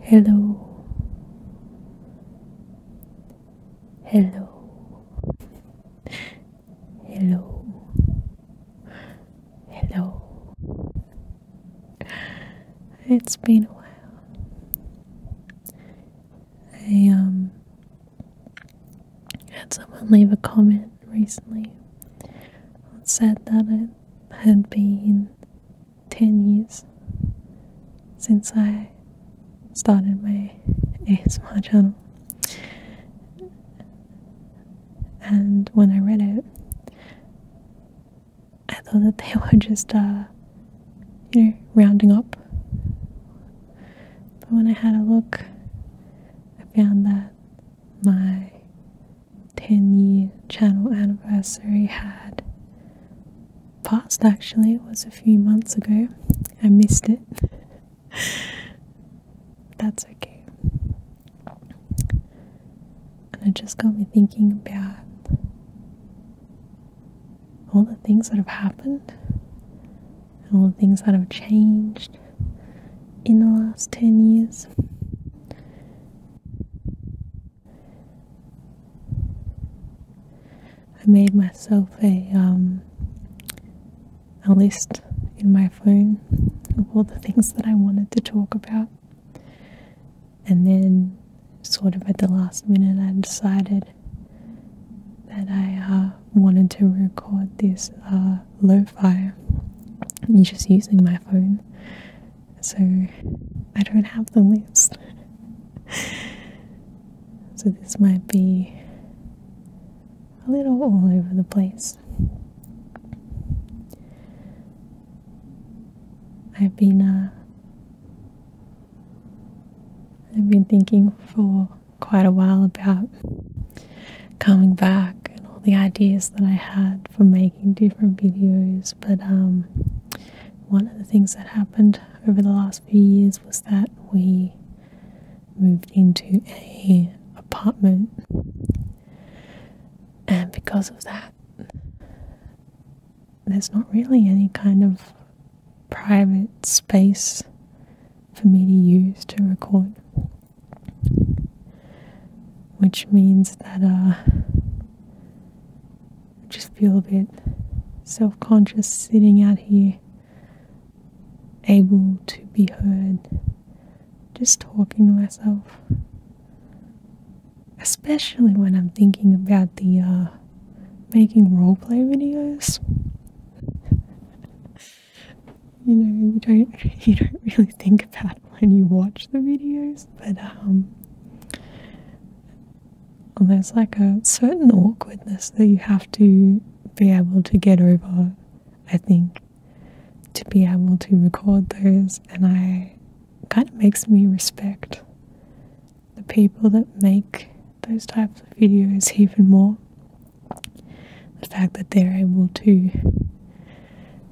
Hello. Hello. Hello. Hello. It's been a while. I um had someone leave a comment recently. and said that it had been 10 years since I started my ASMR channel. And when I read it, I thought that they were just, uh, you know, rounding up. But when I had a look, I found that my 10 year channel anniversary had passed actually, it was a few months ago. I missed it. That's okay. And it just got me thinking about all the things that have happened and all the things that have changed in the last 10 years. I made myself um, a, list in my phone of all the things that I wanted to talk about. And then, sort of at the last minute, I decided that I uh, wanted to record this uh, lo fi, just using my phone so I don't have the list. so this might be a little all over the place. I've been uh, I've been thinking for quite a while about coming back and all the ideas that I had for making different videos but um, one of the things that happened over the last few years was that we moved into a apartment, and because of that, there's not really any kind of private space for me to use to record which means that uh, I just feel a bit self conscious sitting out here, able to be heard, just talking to myself. Especially when I'm thinking about the uh, making roleplay videos. you know, you don't you don't really think about it. when you watch the videos, but um, there's like a certain awkwardness that you have to be able to get over, I think, to be able to record those, and I kind of makes me respect the people that make those types of videos even more. The fact that they're able to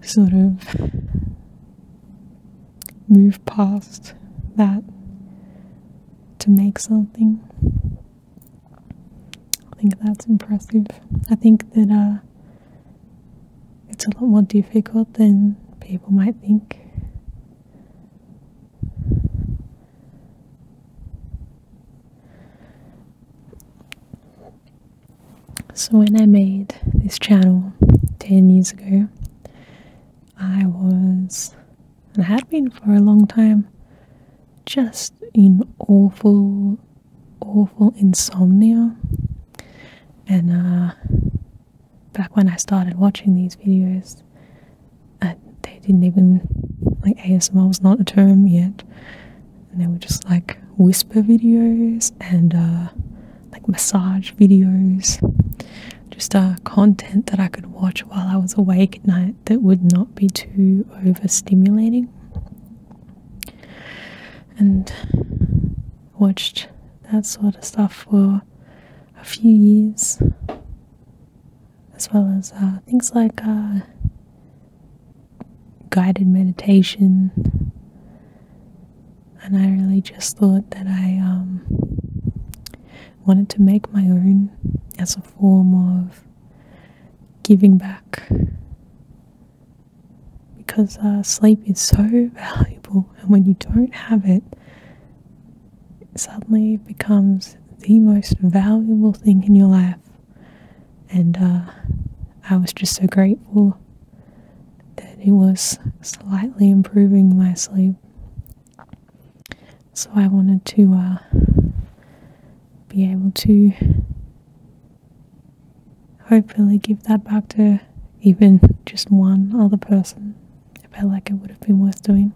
sort of move past that to make something. I think that's impressive. I think that uh, it's a lot more difficult than people might think. So when I made this channel 10 years ago, I was, and had been for a long time, just in awful, awful insomnia. And uh, back when I started watching these videos, uh, they didn't even, like ASMR was not a term yet. And they were just like whisper videos and uh, like massage videos, just uh, content that I could watch while I was awake at night that would not be too overstimulating. And watched that sort of stuff for a few years, as well as uh, things like uh, guided meditation and I really just thought that I um, wanted to make my own as a form of giving back because uh, sleep is so valuable, and when you don't have it, it suddenly becomes the most valuable thing in your life. And uh, I was just so grateful that it was slightly improving my sleep. So I wanted to uh, be able to hopefully give that back to even just one other person. I felt like it would have been worth doing.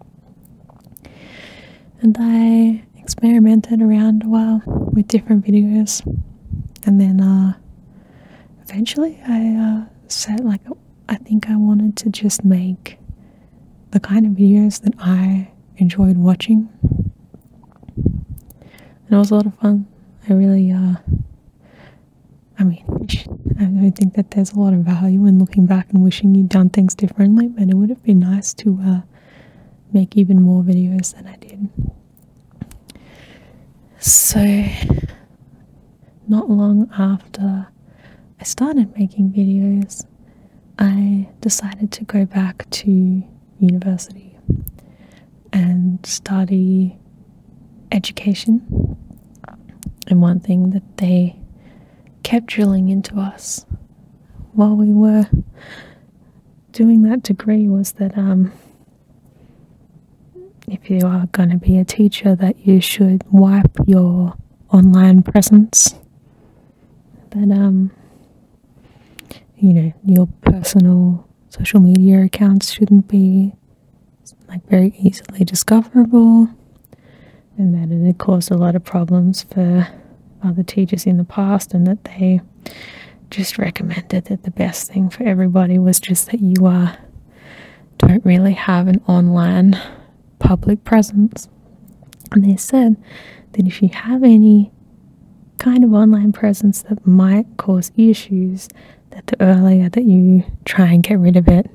And I experimented around a while with different videos and then uh, eventually I uh, said like I think I wanted to just make the kind of videos that I enjoyed watching and it was a lot of fun I really uh, I mean I think that there's a lot of value in looking back and wishing you'd done things differently but it would have been nice to uh, make even more videos than I did so, not long after I started making videos, I decided to go back to university and study education. And one thing that they kept drilling into us while we were doing that degree was that um, if you are going to be a teacher, that you should wipe your online presence. But, um, you know, your personal social media accounts shouldn't be like very easily discoverable and that it caused a lot of problems for other teachers in the past and that they just recommended that the best thing for everybody was just that you uh, don't really have an online public presence. And they said that if you have any kind of online presence that might cause issues, that the earlier that you try and get rid of it,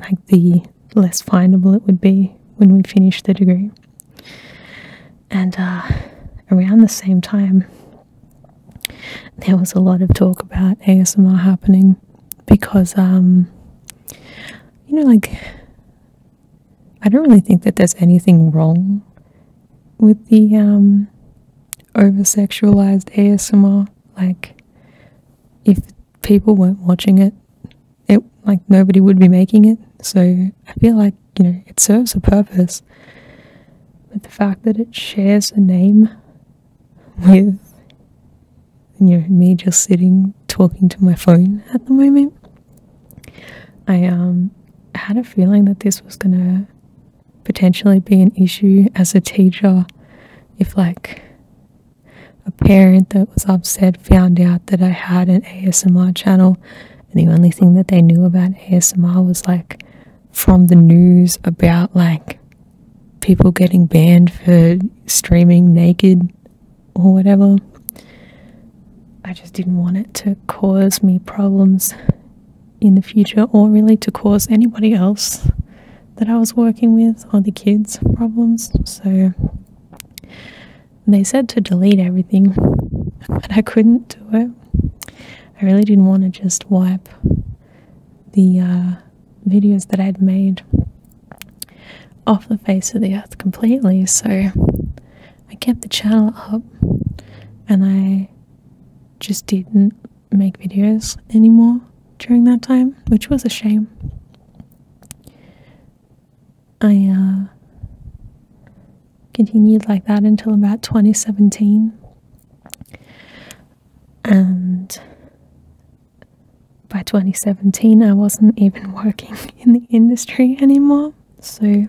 like the less findable it would be when we finish the degree. And uh, around the same time, there was a lot of talk about ASMR happening because, um, you know, like, I don't really think that there's anything wrong with the um, over sexualized ASMR. Like, if people weren't watching it like nobody would be making it. So I feel like you know it serves a purpose but the fact that it shares a name with me just sitting talking to my phone at the moment. I um, had a feeling that this was gonna potentially be an issue as a teacher if like a parent that was upset found out that I had an ASMR channel and the only thing that they knew about ASMR was like from the news about like people getting banned for streaming naked or whatever. I just didn't want it to cause me problems in the future or really to cause anybody else that I was working with or the kids problems. So they said to delete everything, but I couldn't do it. I really didn't want to just wipe the uh, videos that I'd made off the face of the earth completely, so I kept the channel up and I just didn't make videos anymore during that time, which was a shame. I uh, continued like that until about 2017. And by 2017, I wasn't even working in the industry anymore. So, you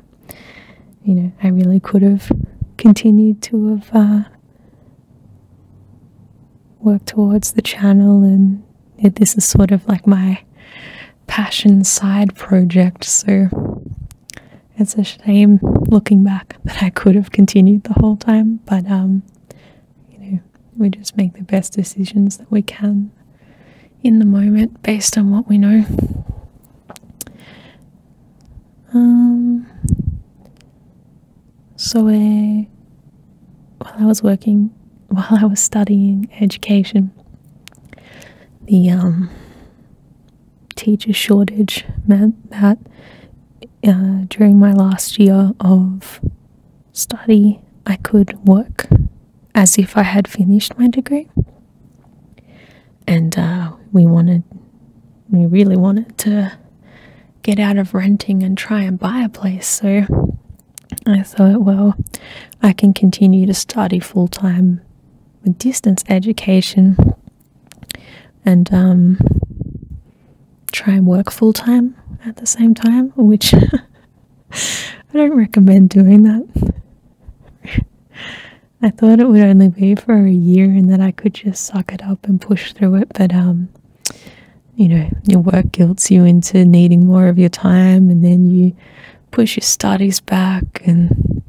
know, I really could have continued to have uh, worked towards the channel, and this is sort of like my passion side project. So, it's a shame looking back that I could have continued the whole time, but um, you know, we just make the best decisions that we can in the moment based on what we know. Um, so, while I was working, while I was studying education, the um, teacher shortage meant that uh, during my last year of study, I could work as if I had finished my degree. And uh, we wanted, we really wanted to get out of renting and try and buy a place. So I thought, well, I can continue to study full time with distance education and um, try and work full time at the same time, which I don't recommend doing that. I thought it would only be for a year and that I could just suck it up and push through it, but um, you know, your work guilts you into needing more of your time, and then you push your studies back, and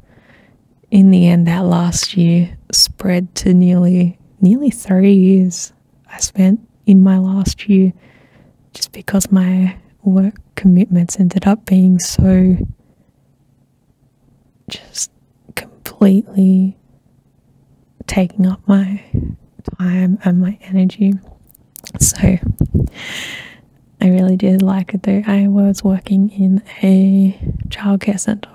in the end, that last year spread to nearly nearly three years I spent in my last year just because my work commitments ended up being so just completely taking up my time and my energy. So I really did like it though. I was working in a childcare center.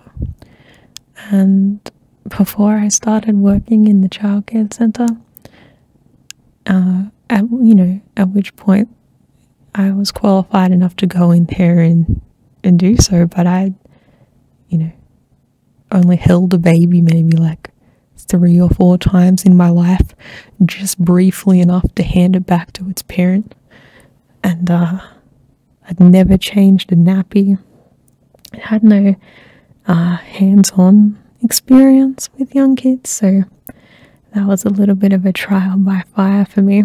And before I started working in the childcare center, uh, at, you know, at which point I was qualified enough to go in there and and do so, but I, you know, only held a baby maybe like three or four times in my life, just briefly enough to hand it back to its parent and uh, I'd never changed a nappy. I had no uh, hands-on experience with young kids, so that was a little bit of a trial by fire for me.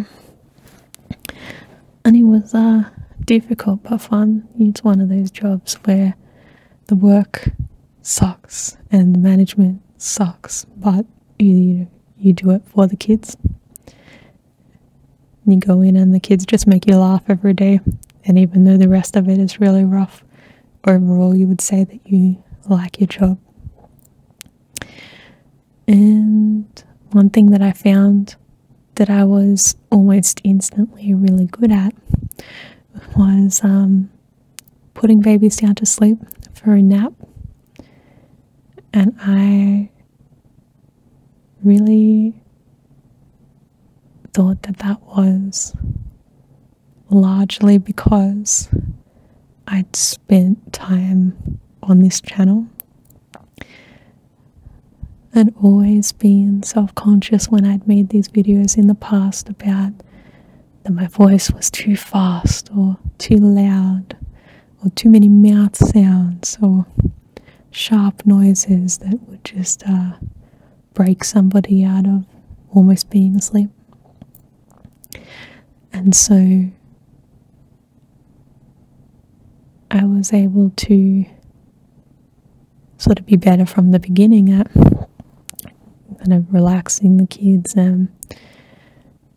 And it was uh, difficult but fun. It's one of those jobs where the work sucks and the management sucks, but you, you you do it for the kids. You go in and the kids just make you laugh every day. And even though the rest of it is really rough, overall you would say that you like your job. And one thing that I found that I was almost instantly really good at was um, putting babies down to sleep for a nap and I really thought that that was largely because I'd spent time on this channel and always been self conscious when I'd made these videos in the past about that my voice was too fast or too loud or too many mouth sounds or sharp noises that would just uh, break somebody out of almost being asleep. And so I was able to sort of be better from the beginning at kind of relaxing the kids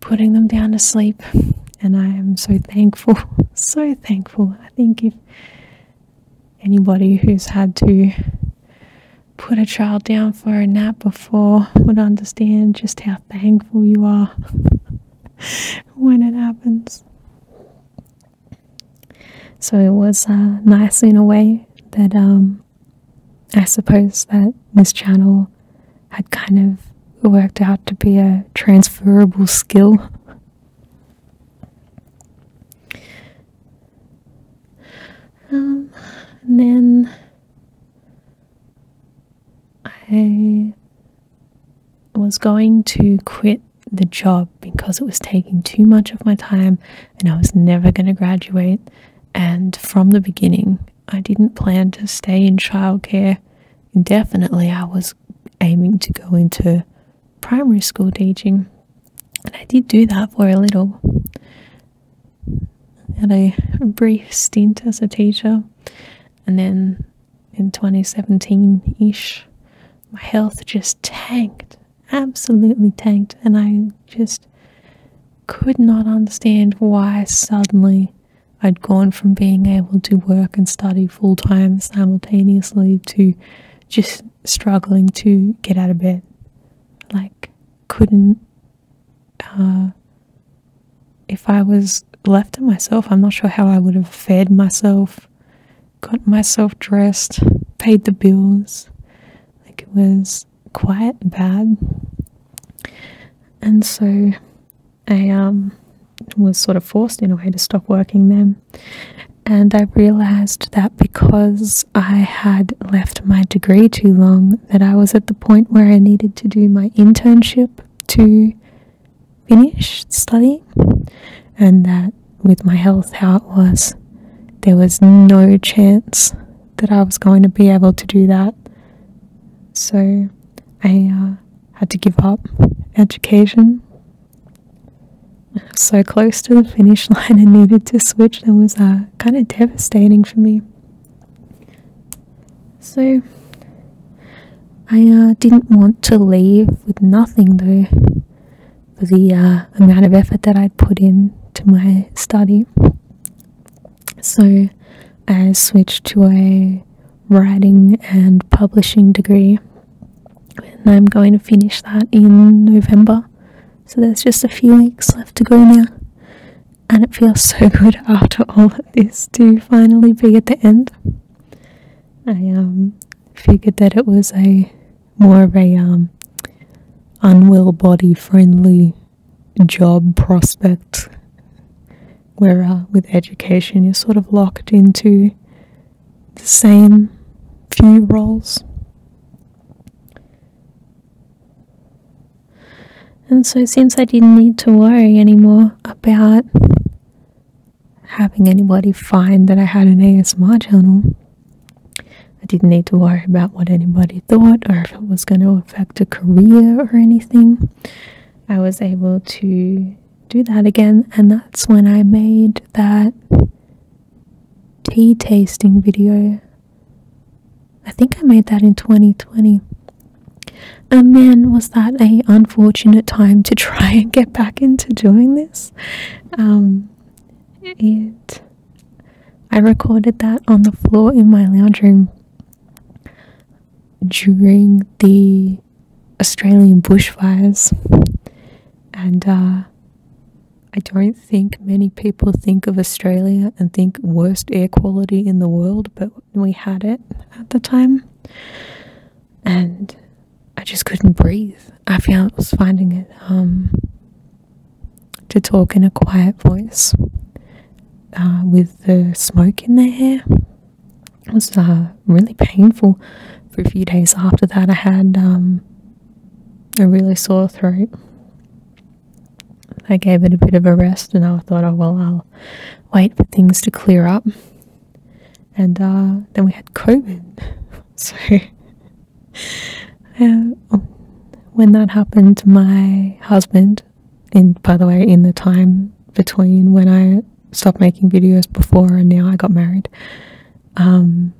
putting them down to sleep. And I am so thankful, so thankful. I think if anybody who's had to put a child down for a nap before would understand just how thankful you are when it happens. So it was uh, nice in a way that um, I suppose that this channel had kind of worked out to be a transferable skill. Um, and then I was going to quit the job because it was taking too much of my time and I was never going to graduate. And from the beginning, I didn't plan to stay in childcare indefinitely. I was aiming to go into primary school teaching, and I did do that for a little. had a brief stint as a teacher, and then in 2017 ish, my health just tanked, absolutely tanked, and I just could not understand why suddenly I'd gone from being able to work and study full time simultaneously to just struggling to get out of bed. Like, couldn't. Uh, if I was left to myself, I'm not sure how I would have fed myself, got myself dressed, paid the bills. Like, it was quite bad. And so I um, was sort of forced in a way to stop working them. And I realized that because I had left my degree too long, that I was at the point where I needed to do my internship to finish studying, and that with my health how it was, there was no chance that I was going to be able to do that. So I uh, had to give up education. I was so close to the finish line and needed to switch. That was uh, kind of devastating for me. So, I uh, didn't want to leave with nothing though, for the amount of effort that I'd put in to my study. So I switched to a writing and publishing degree, and I'm going to finish that in November. So there's just a few weeks left to go now. And it feels so good after all of this to finally be at the end. I um, figured that it was a more of a um, unwell body friendly job prospects. Where with education, you're sort of locked into the same few roles. And so, since I didn't need to worry anymore about having anybody find that I had an ASMR channel, I didn't need to worry about what anybody thought or if it was going to affect a career or anything. I was able to do that again, and that's when I made that tea tasting video. I think I made that in 2020. And then was that a unfortunate time to try and get back into doing this. Um, it, I recorded that on the floor in my lounge room during the Australian bushfires, and uh, I don't think many people think of Australia and think worst air quality in the world, but we had it at the time, and I just couldn't breathe. I found was finding it um, to talk in a quiet voice uh, with the smoke in their hair. It was uh, really painful for a few days after that. I had um, a really sore throat. I gave it a bit of a rest and I thought, oh, well, I'll wait for things to clear up. And uh, then we had COVID. So when that happened, to my husband in by the way in the time between when I stopped making videos before and now I got married um,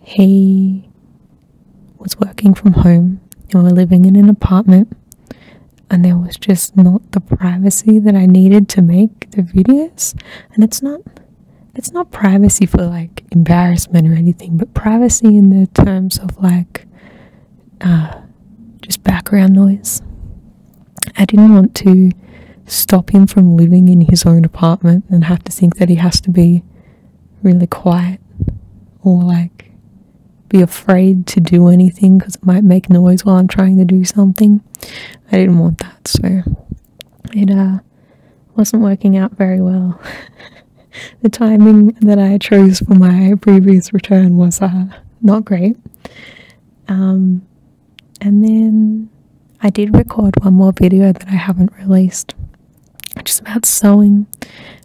he was working from home and we were living in an apartment and there was just not the privacy that I needed to make the videos and it's not it's not privacy for like embarrassment or anything but privacy in the terms of like uh, just background noise. I didn't want to stop him from living in his own apartment and have to think that he has to be really quiet or like be afraid to do anything because it might make noise while I'm trying to do something. I didn't want that, so it uh, wasn't working out very well. the timing that I chose for my previous return was uh, not great. Um, and then I did record one more video that I haven't released, which is about sewing,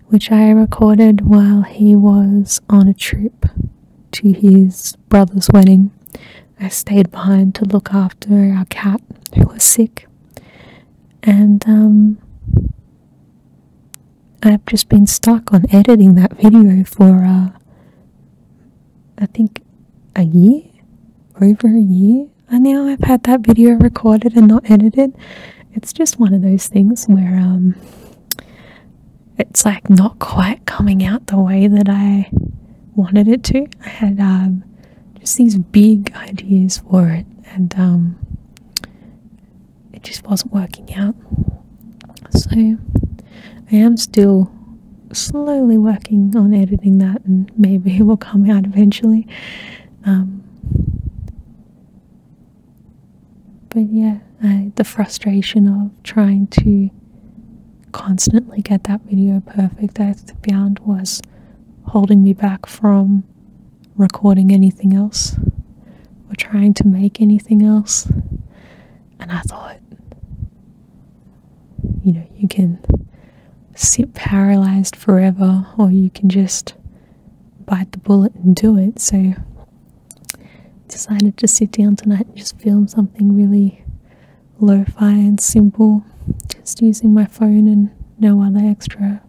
which I recorded while he was on a trip to his brother's wedding. I stayed behind to look after our cat who was sick. And um, I've just been stuck on editing that video for, uh, I think, a year? Over a year? And now I've had that video recorded and not edited. It's just one of those things where, um, it's like not quite coming out the way that I wanted it to. I had, um, just these big ideas for it and, um, it just wasn't working out. So I am still slowly working on editing that, and maybe it will come out eventually. Um, but yeah, the frustration of trying to constantly get that video perfect, I found was holding me back from recording anything else or trying to make anything else. And I thought, you know, you can sit paralyzed forever or you can just bite the bullet and do it. So I decided to sit down tonight and just film something really lo-fi and simple, just using my phone and no other extra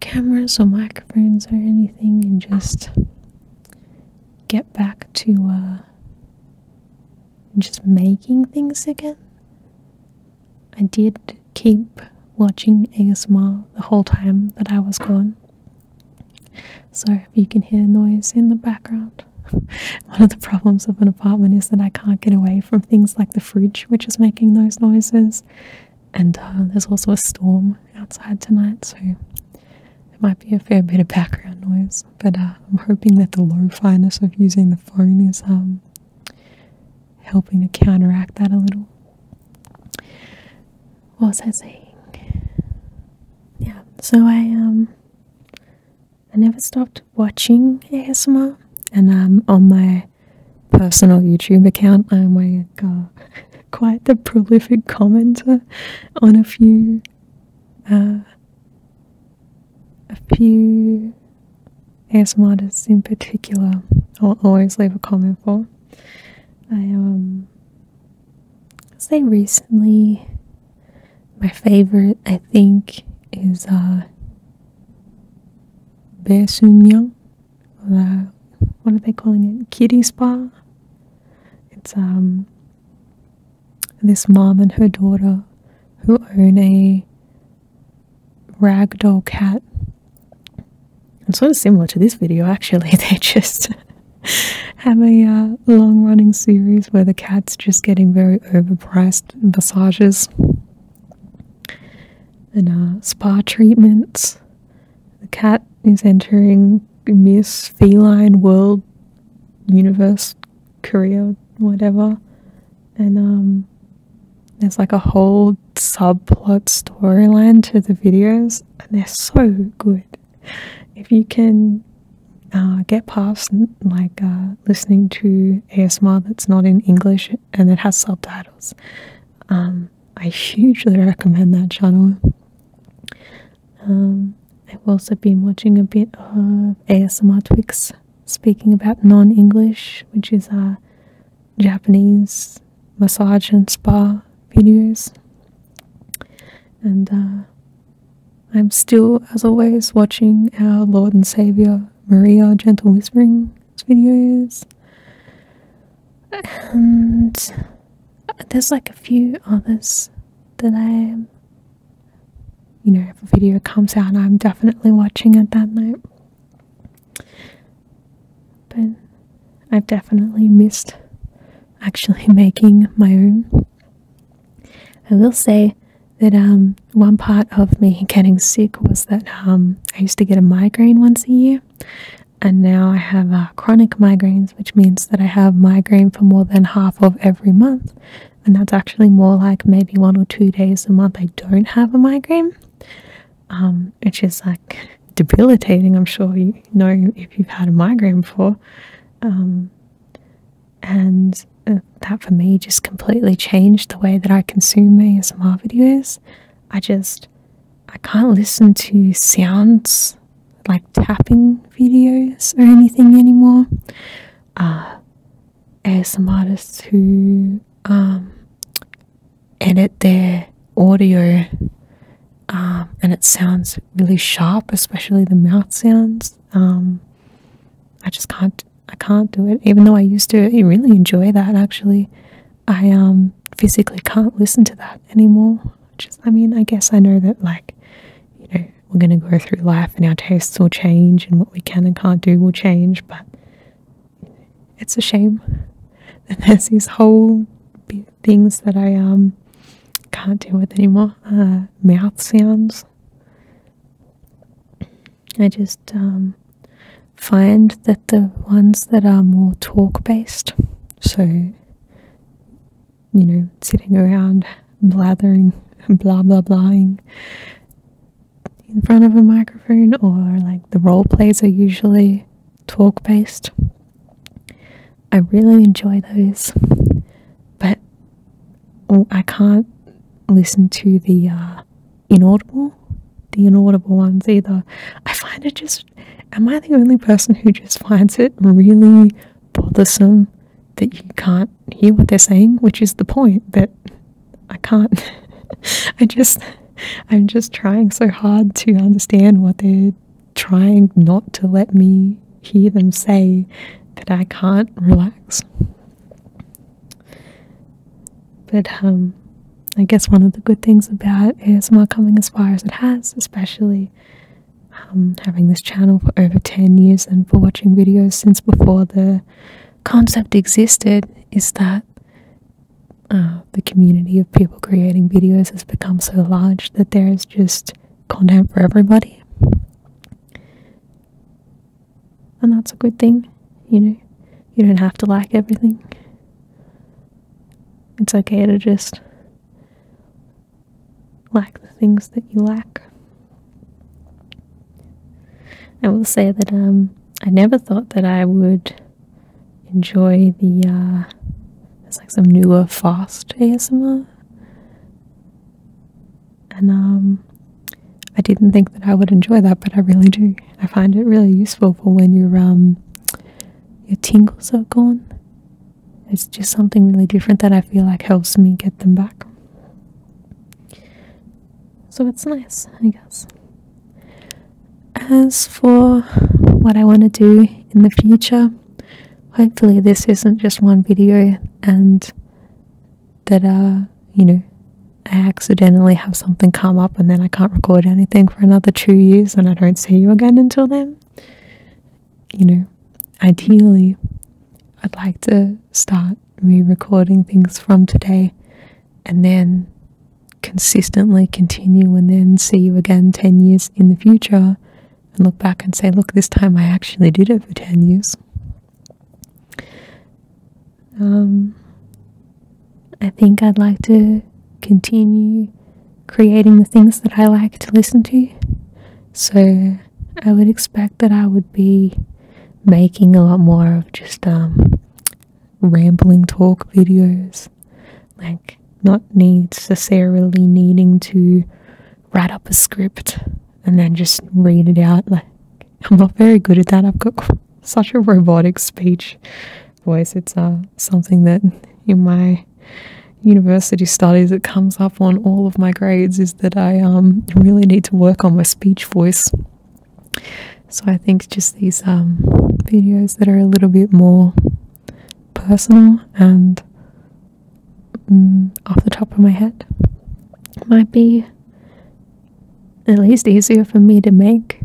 cameras or microphones or anything and just get back to uh, just making things again. I did keep watching ASMR the whole time that I was gone. so you can hear noise in the background. One of the problems of an apartment is that I can't get away from things like the fridge, which is making those noises, and uh, there's also a storm outside tonight, so it might be a fair bit of background noise. But uh, I'm hoping that the low-finess of using the phone is um, helping to counteract that a little. What was I saying? Yeah, so I um, I never stopped watching ASMR, and I'm um, on my personal YouTube account. I'm uh, quite the prolific commenter on a few, uh, a few ASM artists in particular. i always leave a comment for. I um, i say recently, my favorite I think is uh, Bae the what are they calling it? Kitty spa. It's um this mom and her daughter who own a ragdoll cat. It's sort of similar to this video actually. They just have a uh, long running series where the cat's just getting very overpriced massages and uh, spa treatments the cat is entering Miss Feline World Universe Career, whatever. And um there's like a whole subplot storyline to the videos and they're so good. If you can uh, get past like uh, listening to ASMR that's not in English and it has subtitles. Um, I hugely recommend that channel. Um, I've also been watching a bit of ASMR Twix speaking about non English, which is Japanese massage and spa videos. And uh, I'm still, as always, watching our Lord and Saviour Maria Gentle Whispering videos and there's like a few others that I you know if a video comes out I'm definitely watching it that night but I've definitely missed actually making my own I will say that um, one part of me getting sick was that um, I used to get a migraine once a year and now I have uh, chronic migraines, which means that I have migraine for more than half of every month, and that's actually more like maybe one or two days a month I don't have a migraine, um, which is like debilitating. I'm sure you know if you've had a migraine before, um, and uh, that for me just completely changed the way that I consume ASMR videos. I just I can't listen to sounds like tapping videos or anything anymore. Uh, ASM artists who um, edit their audio um, and it sounds really sharp, especially the mouth sounds. Um, I just can't. I can't do it. Even though I used to really enjoy that actually. I um, physically can't listen to that anymore. Just I mean, I guess I know that like, you know, we're gonna go through life and our tastes will change and what we can and can't do will change, but it's a shame that there's these whole things that I um, can't deal with anymore. Uh, mouth sounds. I just um, find that the ones that are more talk based, so you know, sitting around blathering blah blah blahing in front of a microphone, or like the role plays are usually talk based. I really enjoy those, but I can't listen to the uh, inaudible, the inaudible ones either. I find it just am I the only person who just finds it really bothersome that you can't hear what they're saying? Which is the point that I can't I just I'm just trying so hard to understand what they're trying not to let me hear them say that I can't relax. But um, I guess one of the good things about is, my coming as far as it has, especially um, having this channel for over 10 years and for watching videos since before the concept existed, is that uh, the community of people creating videos has become so large that there is just content for everybody. And that's a good thing, you know. You don't have to like everything. It's okay to just lack the things that you lack. I will say that um, I never thought that I would enjoy the, uh, it's like some newer fast ASMR. And um, I didn't think that I would enjoy that, but I really do. I find it really useful for when your um, your tingles are gone. It's just something really different that I feel like helps me get them back. So it's nice, I guess. As for what I want to do in the future, hopefully this isn't just one video and that uh you know I accidentally have something come up and then I can't record anything for another two years and I don't see you again until then. You know, ideally, I'd like to start re recording things from today and then consistently continue and then see you again 10 years in the future and look back and say, look, this time I actually did it for 10 years. Um, I think I'd like to continue creating the things that I like to listen to. So I would expect that I would be making a lot more of just um, rambling talk videos. Like, not necessarily needing to write up a script and then just read it out. Like, I'm not very good at that. I've got such a robotic speech voice. It's uh, something that in my university studies it comes up on all of my grades is that I um, really need to work on my speech voice. So I think just these um, videos that are a little bit more personal and mm, off the top of my head might be at least easier for me to make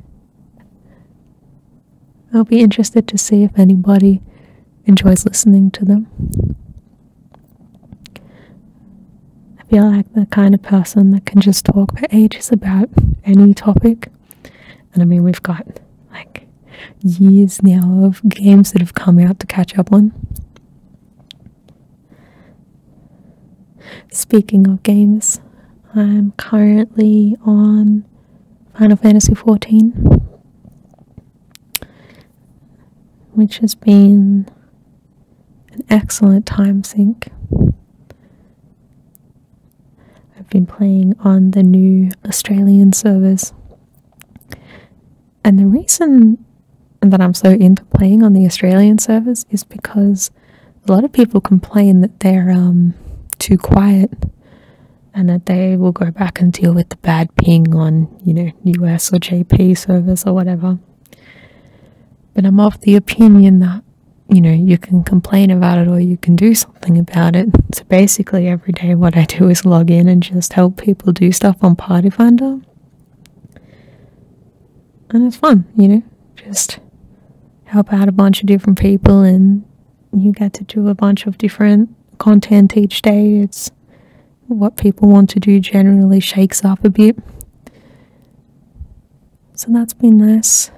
I'll be interested to see if anybody enjoys listening to them. I feel like the kind of person that can just talk for ages about any topic. And I mean, we've got like years now of games that have come out to catch up on. Speaking of games, I'm currently on Final Fantasy XIV, which has been an excellent time sink. I've been playing on the new Australian servers. And the reason that I'm so into playing on the Australian servers is because a lot of people complain that they're um, too quiet and that they will go back and deal with the bad ping on, you know, US or JP servers or whatever. But I'm of the opinion that, you know, you can complain about it or you can do something about it. So basically, every day, what I do is log in and just help people do stuff on Party Finder. And it's fun, you know, just help out a bunch of different people and you get to do a bunch of different content each day. It's what people want to do generally shakes up a bit. So that's been nice.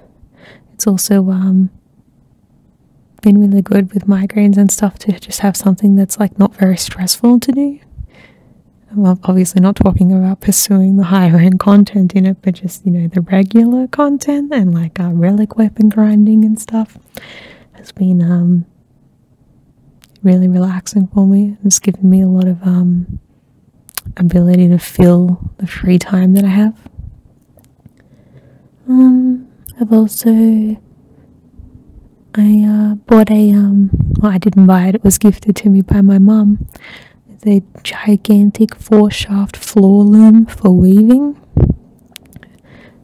It's also um, been really good with migraines and stuff to just have something that's like not very stressful to do. I'm obviously not talking about pursuing the higher end content in it, but just you know the regular content and like uh, relic weapon grinding and stuff has been um, really relaxing for me. It's given me a lot of um, ability to fill the free time that I have. Um, I've also I uh, bought a well I didn't buy it, it was gifted to me by my mum. It's a gigantic four shaft floor loom for weaving.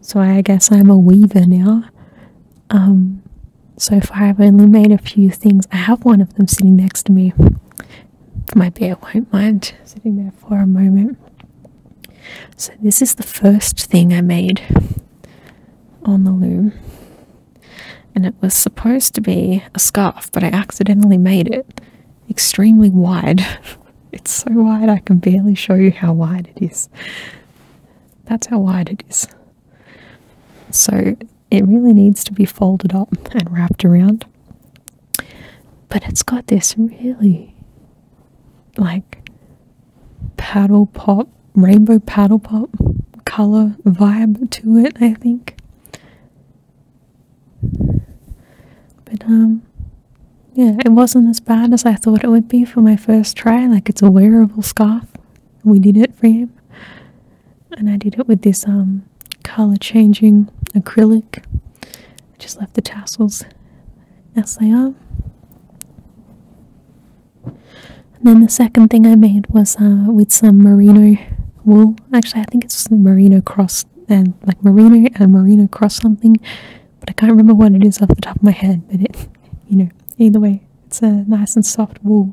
So I guess I'm a weaver now. Um, so far I've only made a few things. I have one of them sitting next to me. My bear won't mind sitting there for a moment. So this is the first thing I made on the loom. And it was supposed to be a scarf, but I accidentally made it extremely wide. it's so wide I can barely show you how wide it is. That's how wide it is. So it really needs to be folded up and wrapped around. But it's got this really like paddle pop, rainbow paddle pop color vibe to it, I think. But um yeah, it wasn't as bad as I thought it would be for my first try. Like it's a wearable scarf. We did it for him. And I did it with this um color changing acrylic. just left the tassels as they are. And then the second thing I made was uh, with some merino wool. Actually, I think it's merino cross and like marina and marina cross something but i can't remember what it is off the top of my head but it you know either way it's a nice and soft wool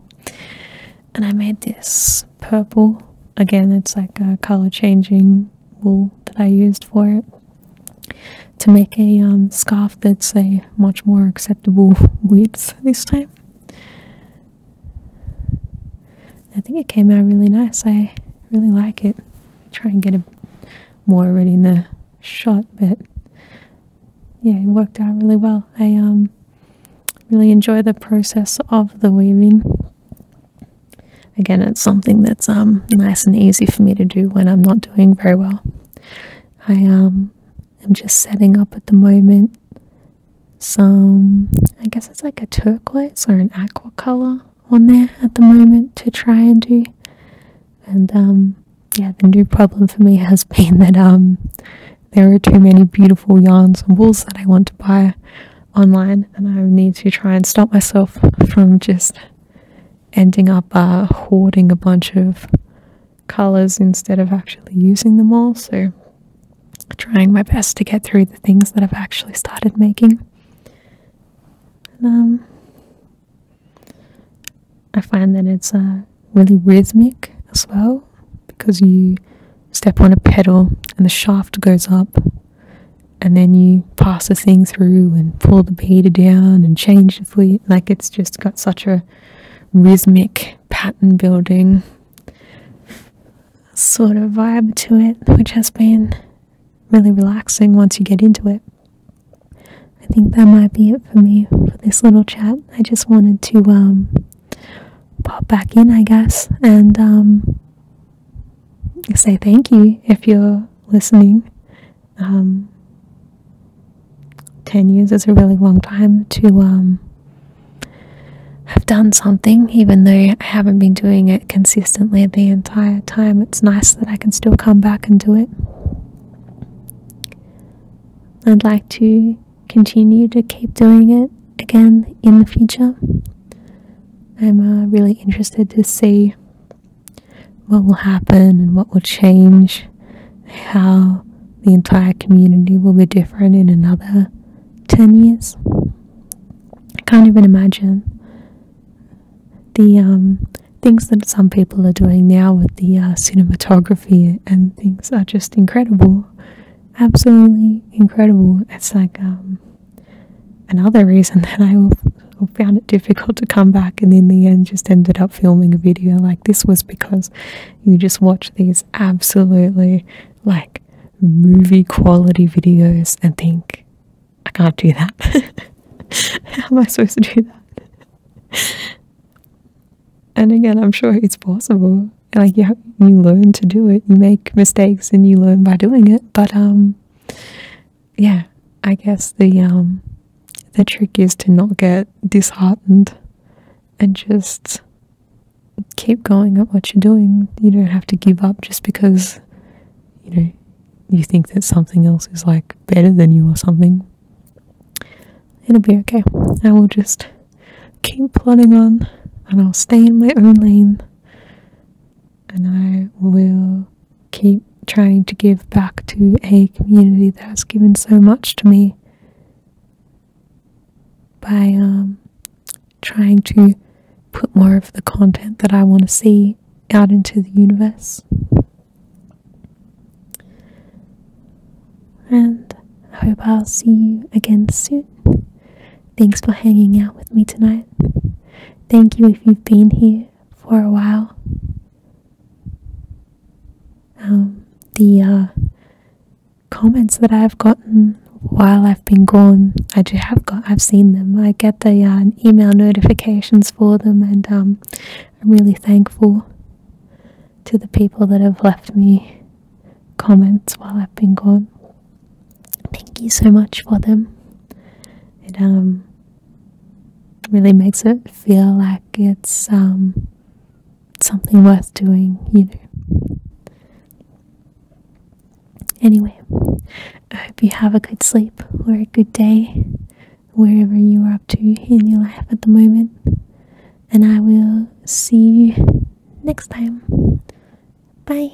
and i made this purple again it's like a color changing wool that i used for it to make a um, scarf that's a much more acceptable width this time I think it came out really nice. I really like it. Try and get a more of in the shot, but yeah, it worked out really well. I um, really enjoy the process of the weaving. Again, it's something that's um, nice and easy for me to do when I'm not doing very well. I um, am just setting up at the moment some, I guess it's like a turquoise or an aqua color on there at the moment to try and do. And um, yeah, the new problem for me has been that um, there are too many beautiful yarns and wools that I want to buy online, and I need to try and stop myself from just ending up uh, hoarding a bunch of colors instead of actually using them all. So trying my best to get through the things that I've actually started making. Um, I find that it's uh, really rhythmic as well because you step on a pedal and the shaft goes up and then you pass the thing through and pull the pedal down and change the fleet. Like it's just got such a rhythmic pattern building sort of vibe to it, which has been really relaxing once you get into it. I think that might be it for me for this little chat. I just wanted to um, pop back in, I guess, and um, say thank you if you're listening. Um, 10 years is a really long time to. I've done something, even though I haven't been doing it consistently the entire time. It's nice that I can still come back and do it. I'd like to continue to keep doing it again in the future. I'm uh, really interested to see what will happen and what will change, how the entire community will be different in another 10 years. I can't even imagine the um, things that some people are doing now with the uh, cinematography and things are just incredible. Absolutely incredible. It's like um, another reason that I found it difficult to come back and in the end just ended up filming a video like this was because you just watch these absolutely like movie quality videos and think, I can't do that. How am I supposed to do that? and again, I'm sure it's possible. Like you, you learn to do it. You make mistakes and you learn by doing it. But um, yeah, I guess the um, the trick is to not get disheartened and just keep going at what you're doing. You don't have to give up just because, you know, you think that something else is like better than you or something. It'll be okay. I will just keep plodding on and I'll stay in my own lane and I will keep trying to give back to a community that has given so much to me by um, trying to put more of the content that I want to see out into the universe. And I hope I'll see you again soon. Thanks for hanging out with me tonight. Thank you if you've been here for a while. Um, the uh, comments that I've gotten while I've been gone. I do have got, I've seen them. I get the uh, email notifications for them, and um, I'm really thankful to the people that have left me comments while I've been gone. Thank you so much for them. It um, really makes it feel like it's um, something worth doing, you know. Anyway, I hope you have a good sleep or a good day, wherever you are up to in your life at the moment. And I will see you next time. Bye.